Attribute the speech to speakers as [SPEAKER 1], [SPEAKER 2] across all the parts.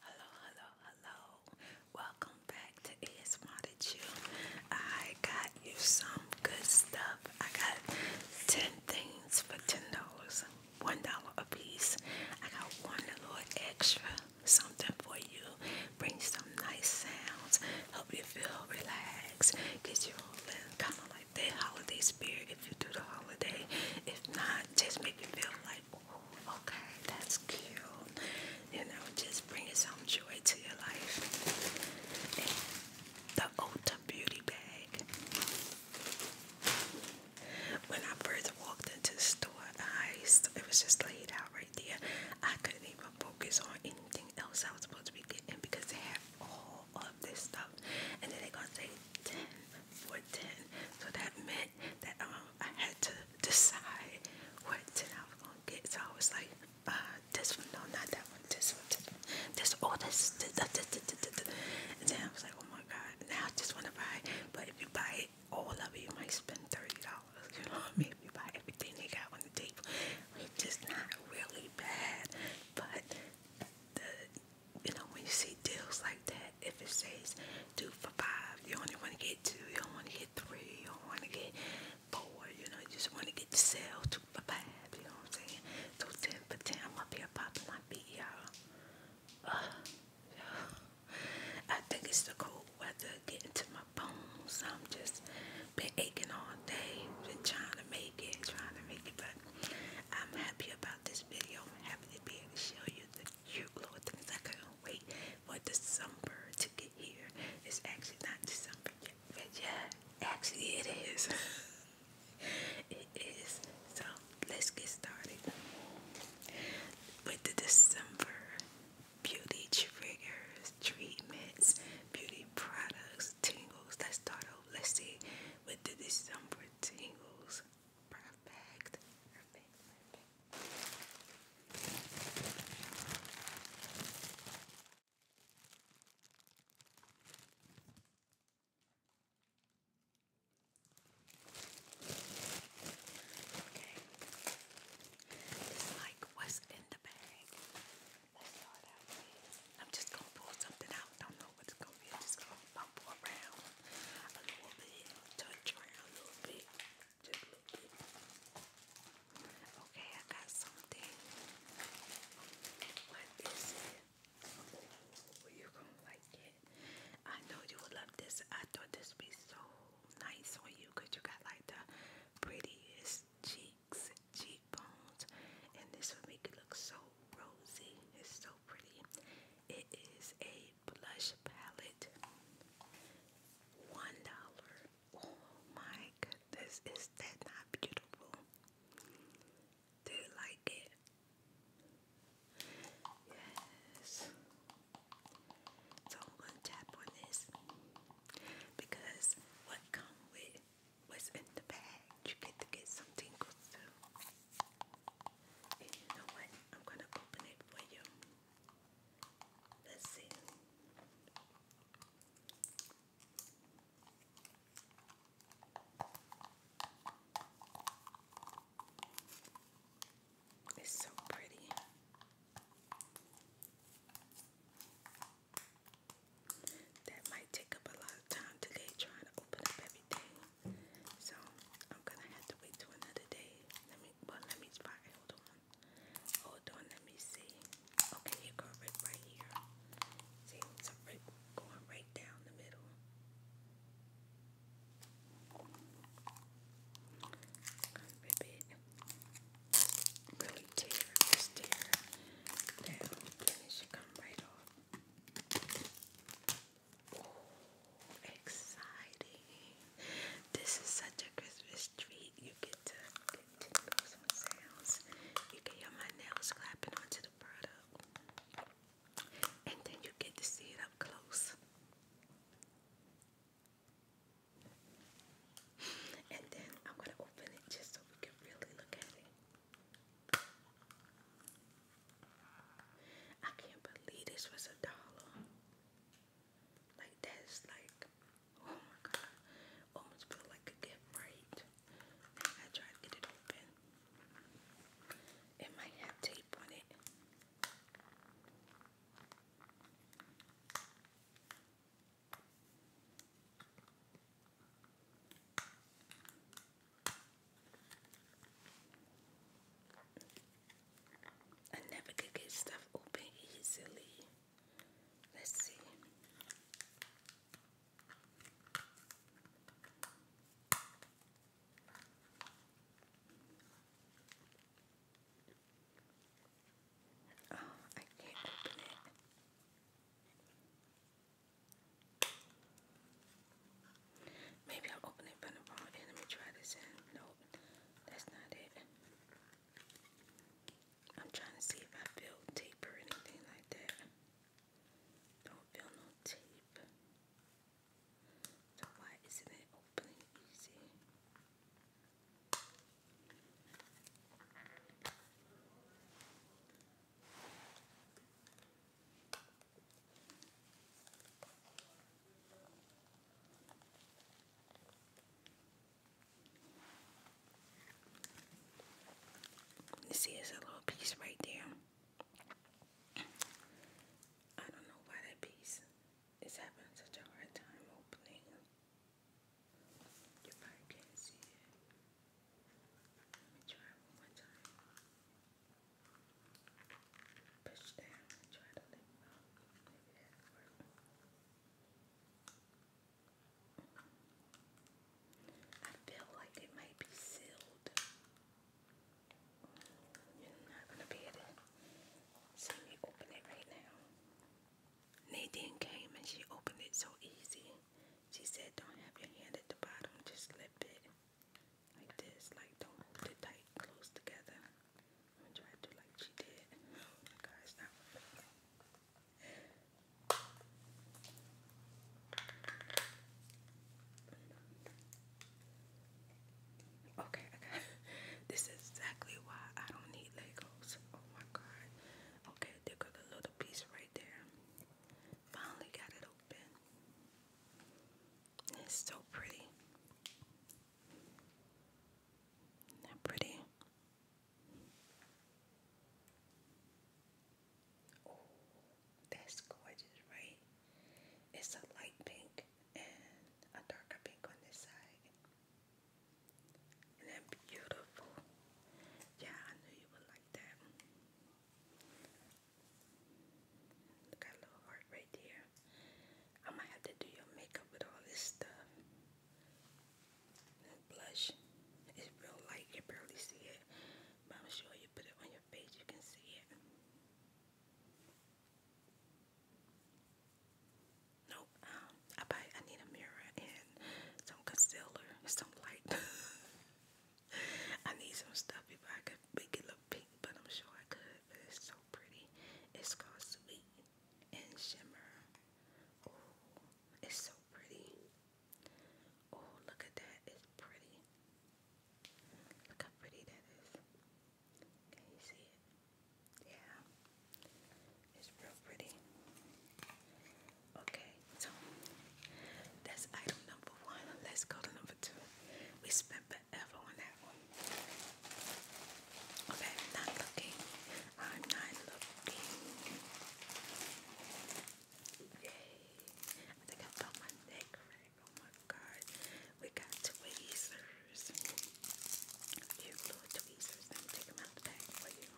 [SPEAKER 1] Hello, hello, hello. Welcome back to Is Wanted You. I got you some good stuff. I got 10 things for $10, $1 a piece. I got one little extra something for you. Bring some nice sounds, help you feel relaxed, get you kind of like that holiday spirit if you do the holiday. If not, just make you feel like okay, that's cute. You know, just bringing some joy to your life. the Ulta Beauty Bag. When I first walked into the store, I it was just laid out right there. I couldn't even focus on anything else I was supposed to be getting because they have all of this stuff. And then they're to say 10 for 10. So that meant that um, I had to decide what tin I was gonna get. So I was like, uh, this one, no, not that one, this one, this one, this, oh, this, this, this, this, this, this, this. And then I was like, oh my God, now I just wanna buy it. But if you buy it, all of it, you might spend $30, you know what I mean? If you buy everything they got on the table, which is not really bad, but the, you know, when you see deals like that, if it says two for five, you only want to get two, you don't want to get three, you don't want to get four, you know, you just want to get the sale two for five, you know what I'm saying? Two ten for ten, I'm up here popping my beat, y'all. I think it's the cold weather getting to my bones. I'm just been aching all day, been trying to make it, trying to make it, but I'm happy about this video. I'm happy to be able to show you the you Lord, things I couldn't wait for December to get here. It's actually not December yet, but yeah, actually it is. it is. So let's get started with the December beauty triggers, treatments, beauty products, tingles. Let's start off. Let's see with the December tingles. Perfect. Okay. This like was in the bag. Let's start out with. I'm just gonna pull something out. Don't know what's gonna be. I'm just gonna a little bit, touch around a a little bit. Okay, I got something. What is it? you're gonna like it. I know you would love this. I thought this would be so nice on you because you got like the prettiest cheeks, cheekbones, and this would make it look so rosy. It's so pretty. It is a shade blush palette. One dollar. Oh my goodness, is that not beautiful? Do you like it? Yes. So I'm gonna tap on this because what come with what's in the bag, you get to get some tingles and you know what? I'm going to open it for you. Let's see. It's so pretty. That might take up a lot of time today trying to open up everything. So I'm gonna have to wait till another day. Let me well let me spot hold on. Hold on, let me see. Okay, here go right here. See, it's going right down the middle. Rip it. Really tear, just tear down, and it should come right off exciting. This is such a Christmas treat. You get to get to know some sounds. You can hear my nails clapping onto the product. And then you get to see it up close. And then I'm gonna open it just so we can really look at it. I can't believe this was a dollar. Like that's like, oh my god, almost feel like a gift, right? I tried to get it open. It might have tape on it. I never could get stuff open easily. Let's see. Oh, I can't open it. Maybe i open it from the wrong end. Let me try this in. No, that's not it. I'm trying to see if I feel tape or anything like that. Don't feel no tape. So why isn't it opening easy? You see, it's a little piece right there. I don't know why that piece is having such a hard time opening. You probably can't see it. Let me try one more time push down I feel like it might be sealed. You're not gonna be able to see me open it right now. Nadine came and she opened it so easy. She said, Don't have your hand at the bottom, just lift it like this, like don't hold it tight, close together. I'm gonna try to like she did. Oh guys, now. Okay, I this is exactly why I don't need Legos. Oh my god. Okay, there got a little piece right there. Finally got it open. It's so pretty. that pretty? Oh, that's gorgeous, right? It's a light pink and a darker pink on this side. Isn't beautiful? Yeah, I knew you would like that. Look at little heart right there. I might have to do your makeup with all this stuff. blush. It's real light, you barely see it. But I'm sure you put it on your face, you can see it. Nope, um, I buy I need a mirror and some concealer some light. I need some stuff if I could make it look pink, but I'm sure I could, pretty. It's called Sweet and Shimmer. Oh, it's so pretty. Oh, look at that. It's pretty. Look how pretty that is. Can you see it? Yeah. It's real pretty. Okay, so that's item number one. Let's go to number two. We forever Okay, not looking. I'm not looking. Yay. I think I found my neck Oh my god. We got tweezers. Few little tweezers. Let me take them out the bag for you.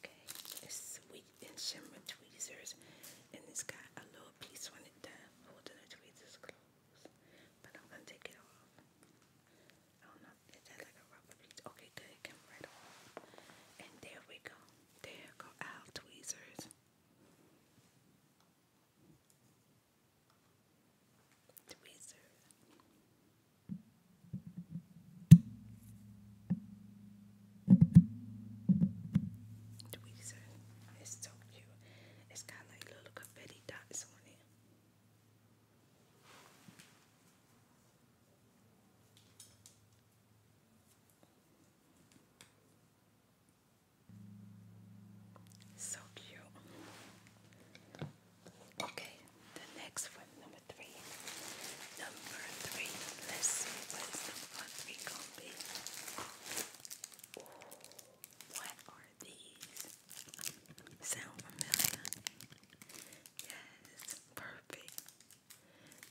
[SPEAKER 1] Okay, it's sweet and shimmer tweezers, and it's got a little piece on it done holding the tweezers closed. But I'm gonna take it off. I don't like a rubber piece. Okay, good, it came right off. And there we go. There go our tweezers. Tweezers. It's so cute. It's got like little confetti dots on it. So cute. Okay, the next one, number three. Number three. Let's see what is number three gonna be. what are these? Sound familiar? Yes, perfect.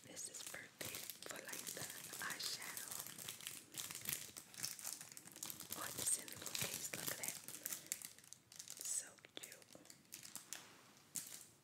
[SPEAKER 1] This is perfect for like the eyeshadow. Oh, in a little case. Look at that. So cute.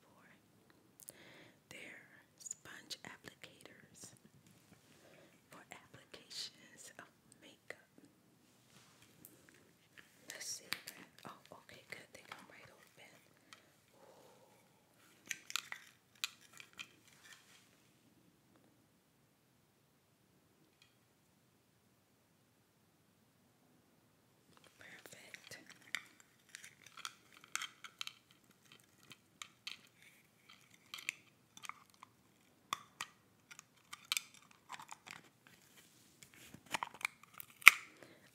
[SPEAKER 1] for. they sponge applicators for applications of makeup. Let's see. Oh, okay, good. They come right open. Perfect.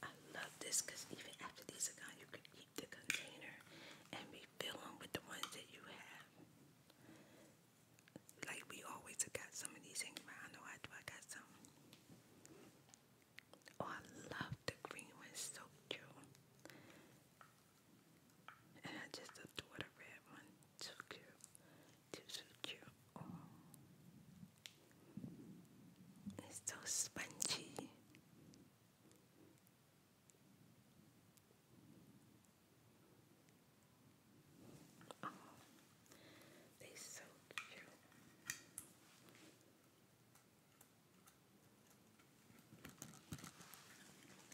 [SPEAKER 1] I love this because even after these are gone, you can keep the container and refill them with the ones that you have. Like we always have some of these hanging I know I do. I got some. Oh, I love the green one, it's so cute. And I just adore the red one, too cute, too, cute. Oh. It's so spongy. Oh, they so cute.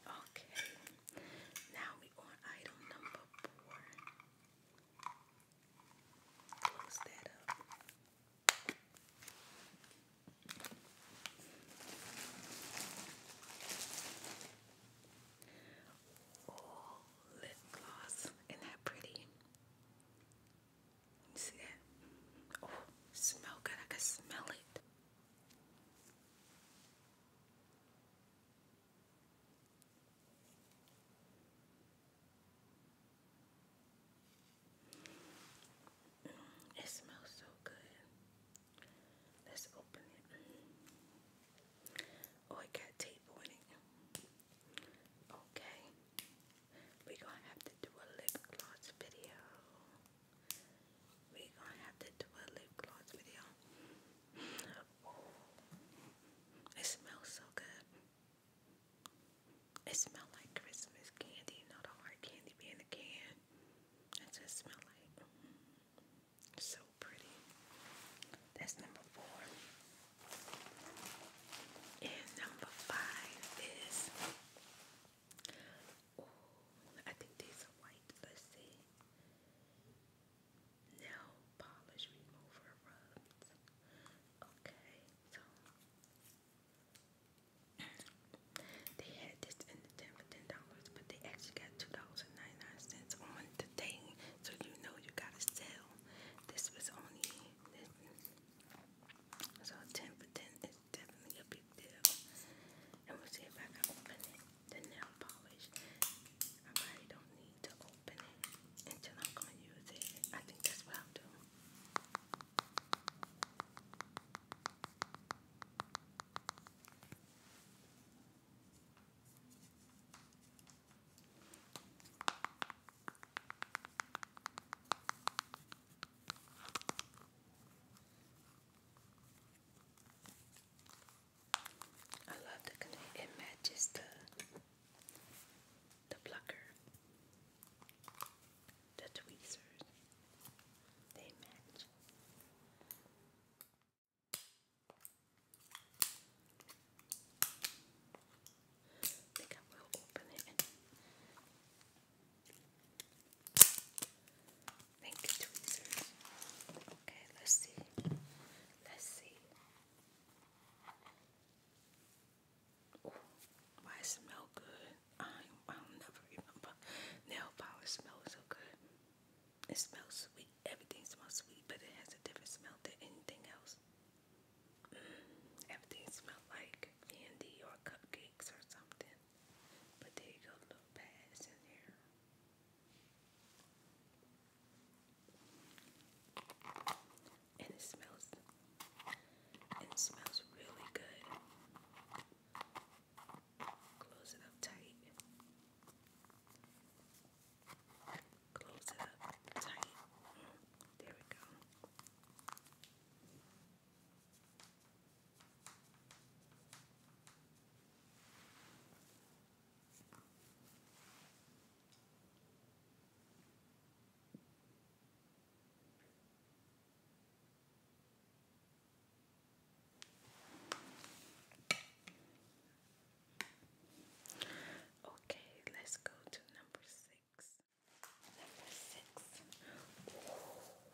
[SPEAKER 1] Okay, now we on item number four. Close that up. Oh, lip gloss. Isn't that pretty? See that? Oh, smell good. I can smell it. It smells so good. Let's open it. Mm. Oh, it got tape on it. Okay, we gonna have to do a lip gloss video. we gonna have to do a lip gloss video. it smells so good. It smells like Christmas candy, you hard candy being a can. It just smells like mm, so pretty. That's number four. And number five is, I think these are white. Let's see. Nail polish remover Okay, so they had this in the ten for ten dollars, but they actually got two dollars on the thing. So you know you gotta sell. This was only. So 10 for 10 is definitely a big deal. And we'll see if I can open it. The nail polish. I probably don't need to open it until I'm going to use it. I think that's what I'll do. I love the It matches the the plucker, the tweezers. They match think I will open it. Thank tweezers. Okay, let's see. Let's see. why it smell good? I I'll never remember. Nail polish smells so good. It smells sweet. Everything smells sweet, but it has a different smell than anything else. Everything smelled like candy or cupcakes or something. But there you little pads in there. And it smells it smells really good. Close it up tight. Close it up tight. There we go. Okay, let's go to number six. Number six.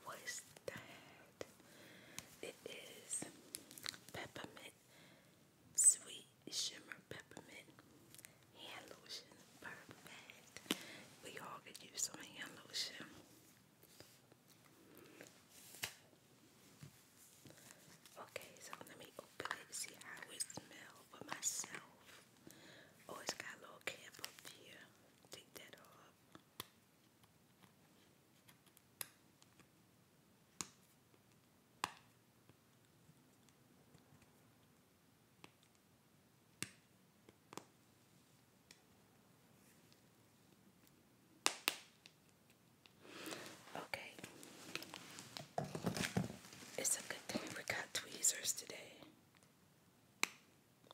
[SPEAKER 1] what is that? It is peppermint sweet shimmer peppermint hand lotion. Perfect. We all could use some hand lotion. Okay, so let me open it and see how it smells for myself. Oh, it's got a little cap up here. Take that off. Okay, it's a good thing we got tweezers today.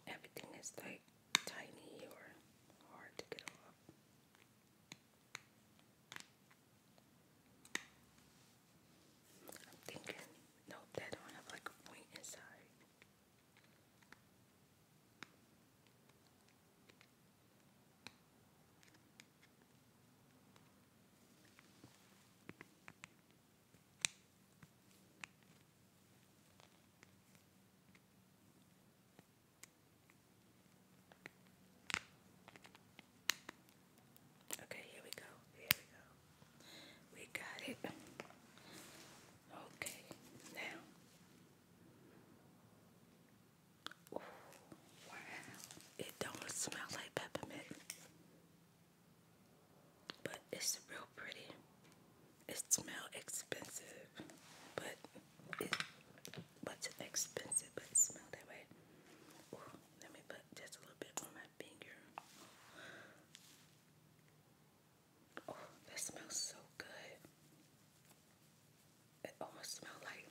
[SPEAKER 1] Everything is like tiny or hard to get off. I'm thinking, no, that don't have like a point inside. Okay, here we go. Here we go. We got it. Okay, now. wow. It don't smell like peppermint. But it's real pretty. It smells expensive, but it, but it's expensive, but it smells that way. let me put just a little bit on my finger. Oh, that smells so good. It almost smells like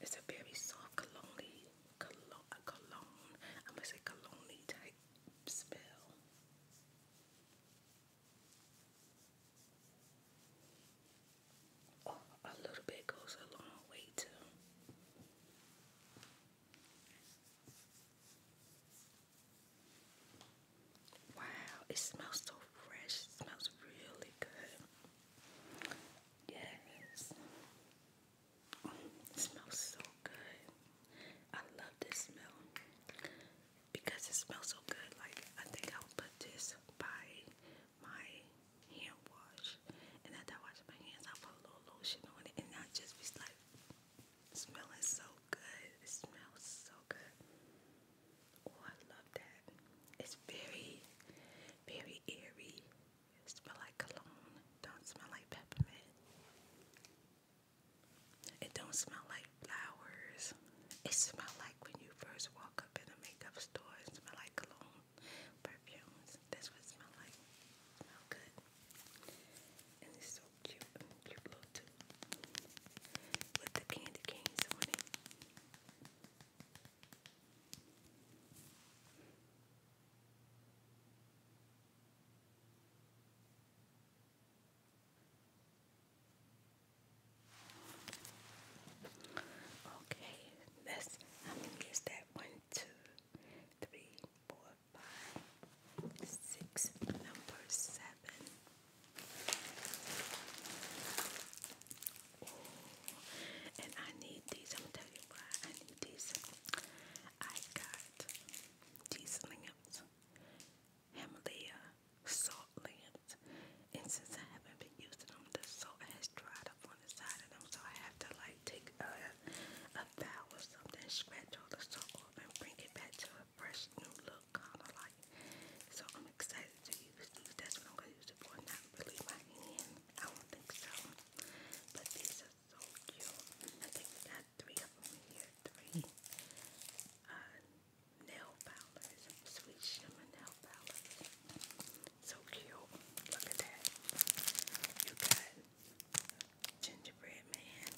[SPEAKER 1] it's a very soft cologne cologne, a cologne. I'm gonna say cologne type smell. Oh, a little bit goes a long way too. Wow, it smells so fresh. It smells really good. Yes. It smells so good. I love this smell because it smells so good. Like I think I'll put this by my hand wash, and after I wash my hands, I'll put a little lotion on it, and I'll just be like smelling so good. It smells so good. Oh, I love that. It's very, very airy. It smell like cologne. Don't smell like peppermint. It don't smell like flowers. It smell like when you first walk up in a makeup store. It smell like cologne, perfumes. That's what it smell like. smell good. And it's so cute. And cute little With the candy canes on it. Okay, that's how many is that? One, two, three, four, five, six, number seven. and I need these. I'm gonna tell you why I need these. I got these lamps, Himalaya salt lamps, and since I haven't been using them, the salt has dried up on the side of them, so I have to like take a, a bow or something, scratch all the salt off, and bring it back to a fresh new look, kind of like. So I'm excited to use these. That's what I'm gonna use it for. Not my hand. I don't think so. But these so cute. I think we got three of them here. Three nail polish, sweet shimmer nail polish. So cute. Look at that. You got gingerbread man.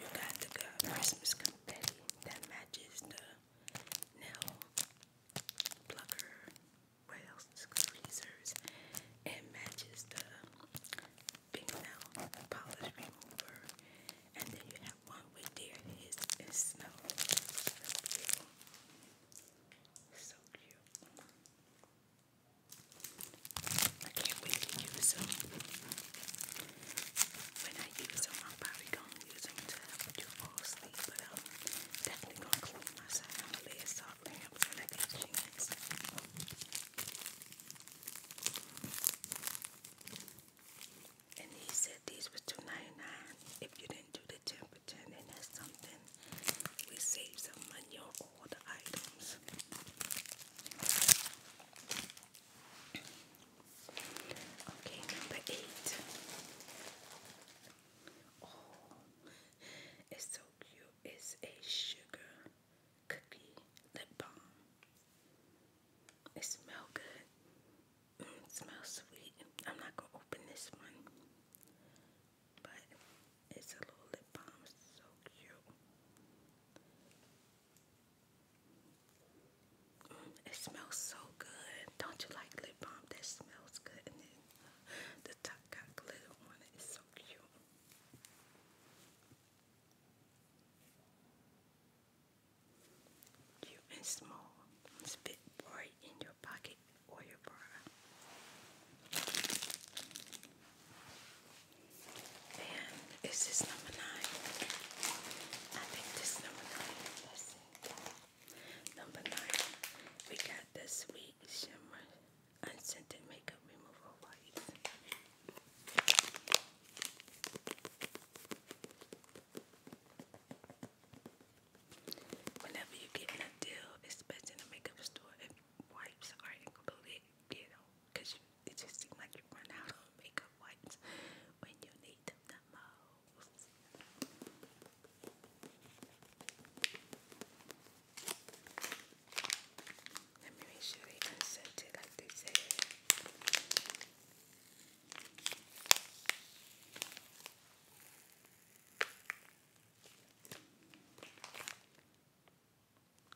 [SPEAKER 1] You got the Christmas confetti that matches the nail plucker what else? Tweezers and matches the big polish remover. And then you have one with there it is it smells so beautiful. So cute. I can't wait to use them. When I use them, I'm probably gonna use them to help you fall but I'm definitely gonna clean myself. i lamp And he these were 2 If you didn't do the 10 then that's something. We saved some money on all the items. Okay, number eight. Oh, it's it's a sugar cookie lip balm. It smells good. Mm, it smells sweet. I'm not gonna open this one, but it's a little lip balm. So cute. Mm, it smells so good. Don't you like lip balm that smells good? the top glitter on it. so cute. Cute and small. Spit right in your pocket or your bra. And is number nine? I think this number 9 Number nine. We got the sweet shimmer unscented makeup remover wipes. Whenever you get in a deal, especially in a makeup store, wipes are included, you know, it just seems like you run out of makeup wipes when you need them the most. Let me make sure they unsent it like they said.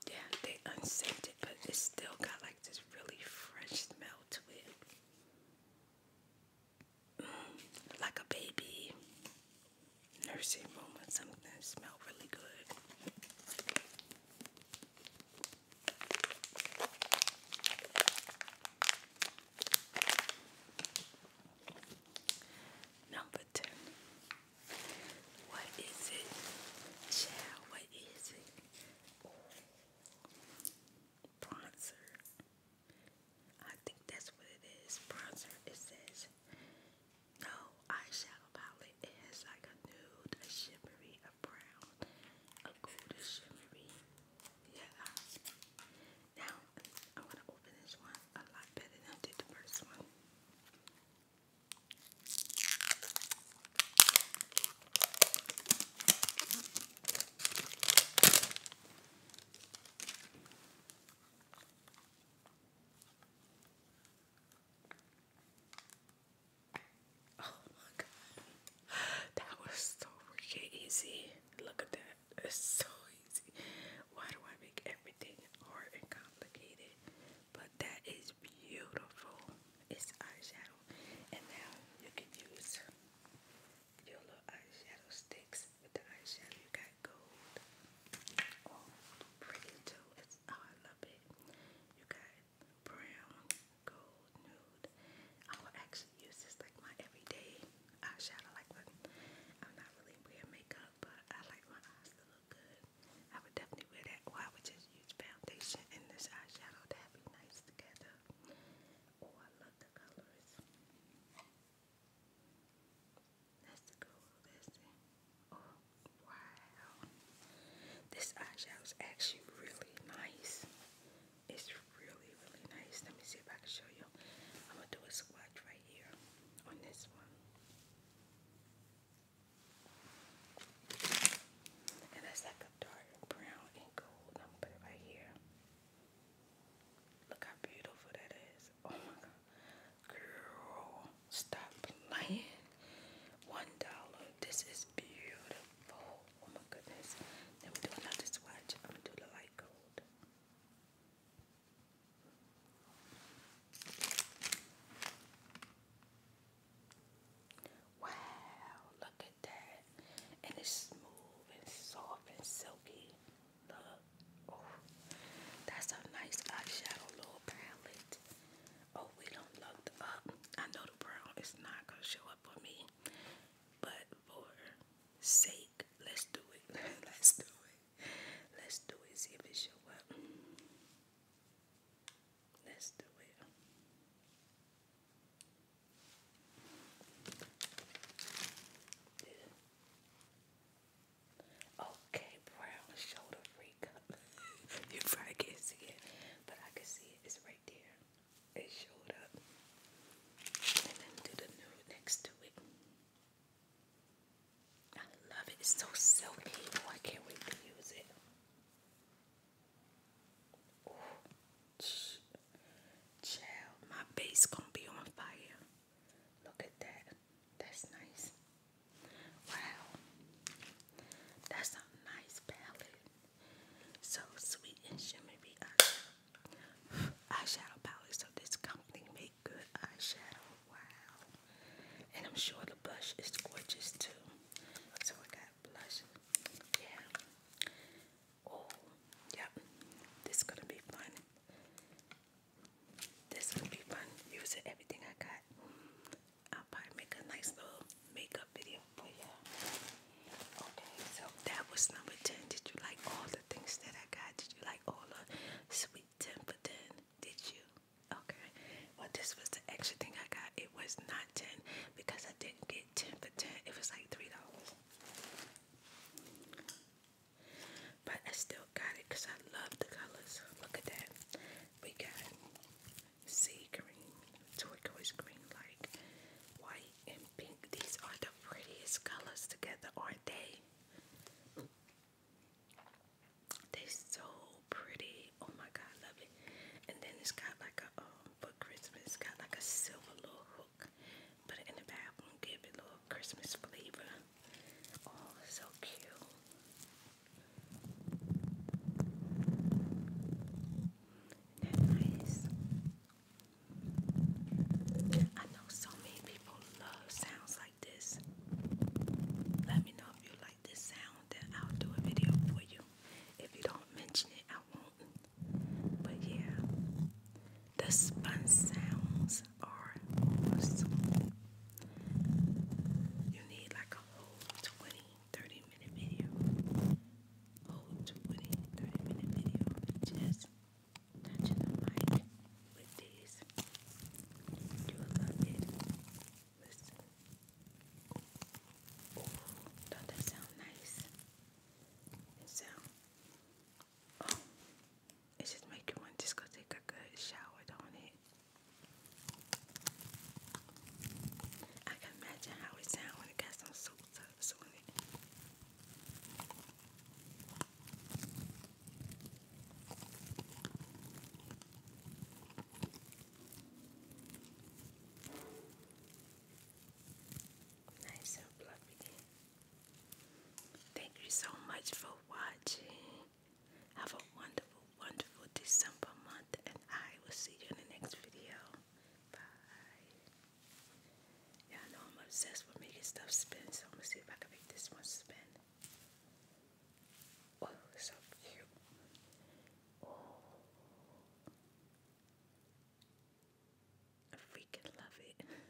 [SPEAKER 1] Yeah, they unsent it, but it still got like this really fresh smell to it. Mm, like a baby nursing room or something that smelled really good. Number ten. What is it? Child, what is it? Bronzer. I think that's what it is. Bronzer. It says no eyeshadow palette. It has like a nude, a shimmery, a brown, a golden shimmery. Yeah. Now I'm to open this one a lot better than I did the first one. Oh my god. That was so freaking easy. Look at that. It's so easy. Why do I make everything hard and complicated? But that is beautiful. It's eyeshadow. And now you can use your eyeshadow sticks with the eyeshadow. You got gold pretty too. oh, I love it. You got brown, gold, nude. I'm actually use this like my everyday eyeshadow. Like I'm not really wearing makeup, but I like my eyes to look good. I would definitely wear that. Or I would just use foundation and this eyeshadow. That'd be nice together. Oh, I love the colors. That's the cool lesson. Oh, wow. This eyeshadow is actually really nice. It's really, really nice. Let me see if I can show you. I'm going to do a swatch right here on this one. And that's like a dark brown and gold. I'm going to put it right here. Look how beautiful that is. Oh my god. Girl, stop playing. One dollar. This is beautiful. Oh my goodness. Let me do another swatch. I'm gonna do the light gold. Wow, look at that. And it's smooth and soft and silky. Oh, that's a nice eyeshadow little palette. Oh, we don't look up. I know the brown is not gonna show up for me, but for sake, let's do it. let's do it. Let's do it. See if it show up. Let's do it. Okay, brown shoulder freak. you probably can't see it, but I can see it. It's right there. It showed up. And then do the nude next to it. I love it. It's so silky. Oh, I can't wait to use it. Oh, my base gonna be on fire. Look at that. That's nice. Wow. That's a nice palette. So sweet and shimmery eyeshadow. palette. So this company make good eyeshadow. Wow. And I'm sure the blush is gorgeous too. So I got blush. Yeah. Oh, yep. This gonna be fun. This would be fun using everything I got. I'll probably make a nice little makeup video for you Okay, so that was number 10. Did you like all the things that I got? Did you like all the sweet 10 for 10? Did you? Okay, well, this was the extra thing I got. It was not 10 because I didn't get 10 for 10, it was like $3. But I still got it because I love the colors. Look at that. We got sea green, turquoise green, like white and pink. These are the prettiest colors together, aren't they? They're so pretty. Oh my god, I love it. And then it's got like a um for Christmas, it's got like a silver little hook. Put in the bathroom, give it little Christmas flavor. Oh, so cute. Nice. I know so many people love sounds like this. Let me know if you like this sound, then I'll do a video for you. If you don't mention it, I won't. But yeah, the sponge sounds these are You need like a whole 20, minute video. Whole 20, minute video. Just touching the mic with these. you love it. Listen. don't that sound nice? It sound. Oh. It just make you want just go take a good shower, don't it? I can imagine how it sounds when it got some soup tubs Nice and fluffy. Thank you so much for watching. Have a wonderful, wonderful December month, and I will see you in the next video. Bye. Y'all know I'm obsessed with making stuff spin, so I'm gonna see if I can make this one spin. Oh, so cute. Oh. I freaking love it. Bye.